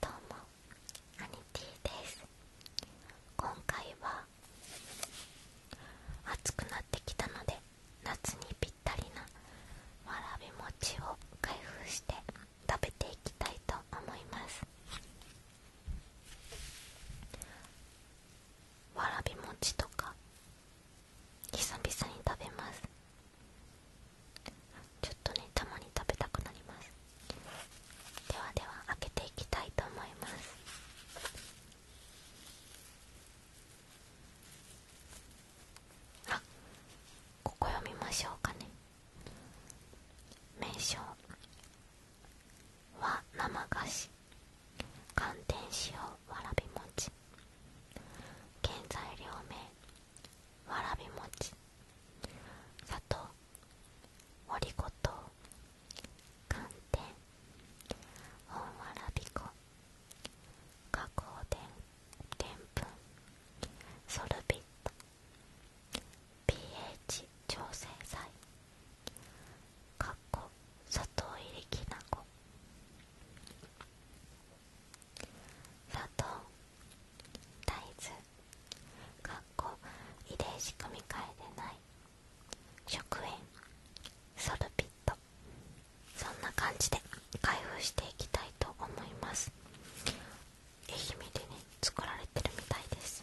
どうもアニティです今回は暑くなってきたので夏にぴったりなわらび餅を開封して食べていきたいと思いますわらび餅とか久々に食べますちょっとねたまに食べたくなりますではでは開けていきたいと思いますあここ読みましょうかね名称は生菓子寒天塩わらび餅原材料名わらび餅砂糖オリゴ糖寒天本わらび粉加工ででんぷんソルビット pH 調整剤かっこ砂糖入りきな粉砂糖大豆かっこ遺伝子組み換えでない食塩ソルピットそんな感じで開封していきたいと思います愛媛でね作られてるみたいです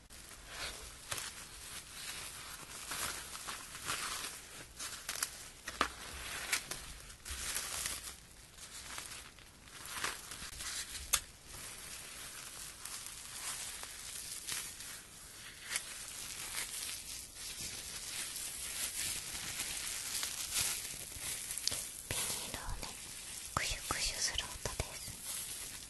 ビニールをねクシュクシュする音です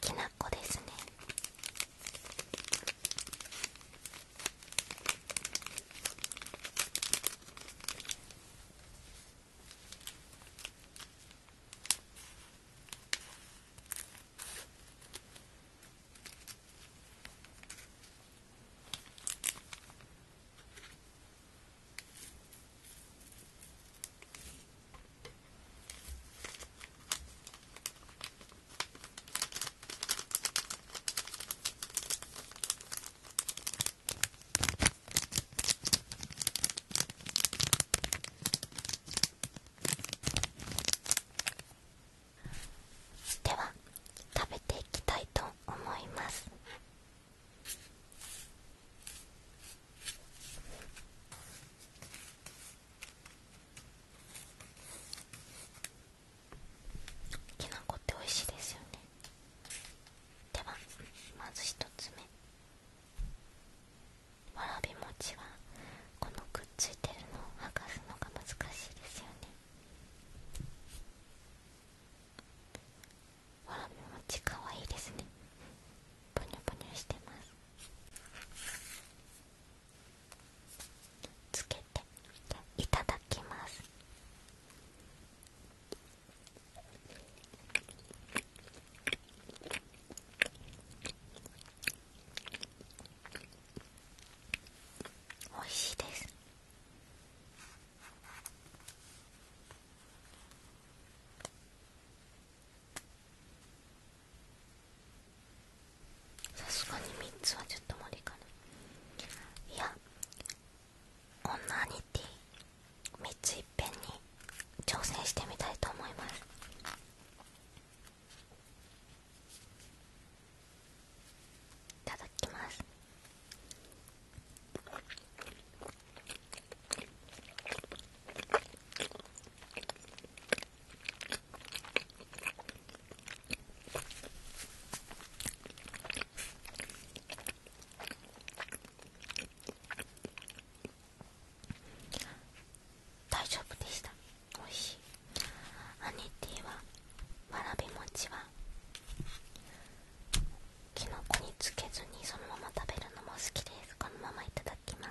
きな粉ですねでは食べていきたいと思います。きな粉って美味しいですよねではまず1つ目わらび餅はこのくっついてるのを剥がすのが難しいですよねほらもちかわいいですねぽにょぽにょしてますつけていただきますおいしいですさすがに3つはちょっと無理かないやこオナニティ3ついっぺんに挑戦してみたいと思いますいただきます大丈夫でしたおいしいハニはわらび餅はきのこにつけずにそのまま食べるのも好きですこのままいただきます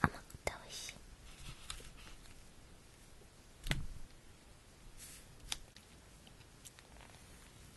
甘くておいしい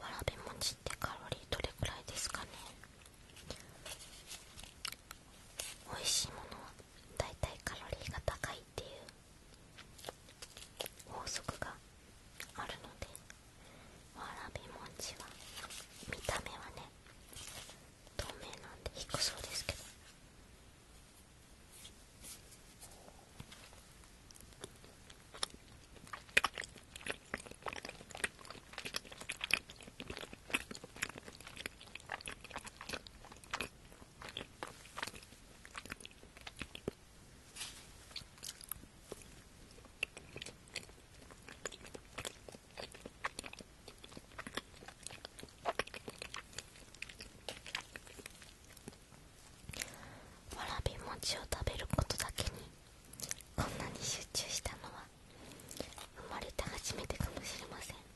わらび餅ってカロリーどれくらいですかね美味しいものはだいたいカロリーが高いっていう法則があるのでわらびもちは見た目はね透明なんで低そうですけどわらび餅を食べることだけにこんなに集中したのは生まれて初めてかもしれません「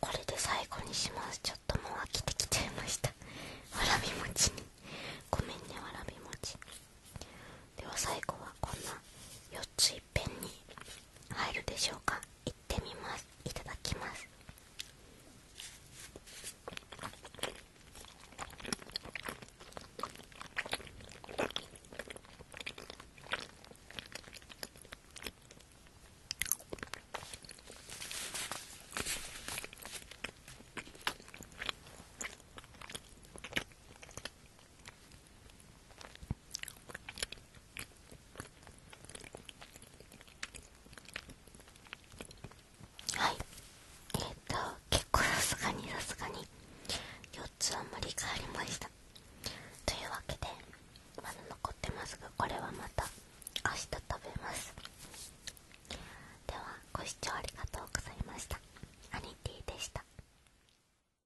これで最後にしますちょっともう飽きてきちゃいましたわらび餅にごめんねわらび餅では最後はこんな四ついっに入るでしょうかいってみますいただきますはいえっ、と結構さすがにさすがに4つは無理がありましたというわけでまだ残ってますがこれはまた明日食べますではご視聴ありがとうございましたアニティでした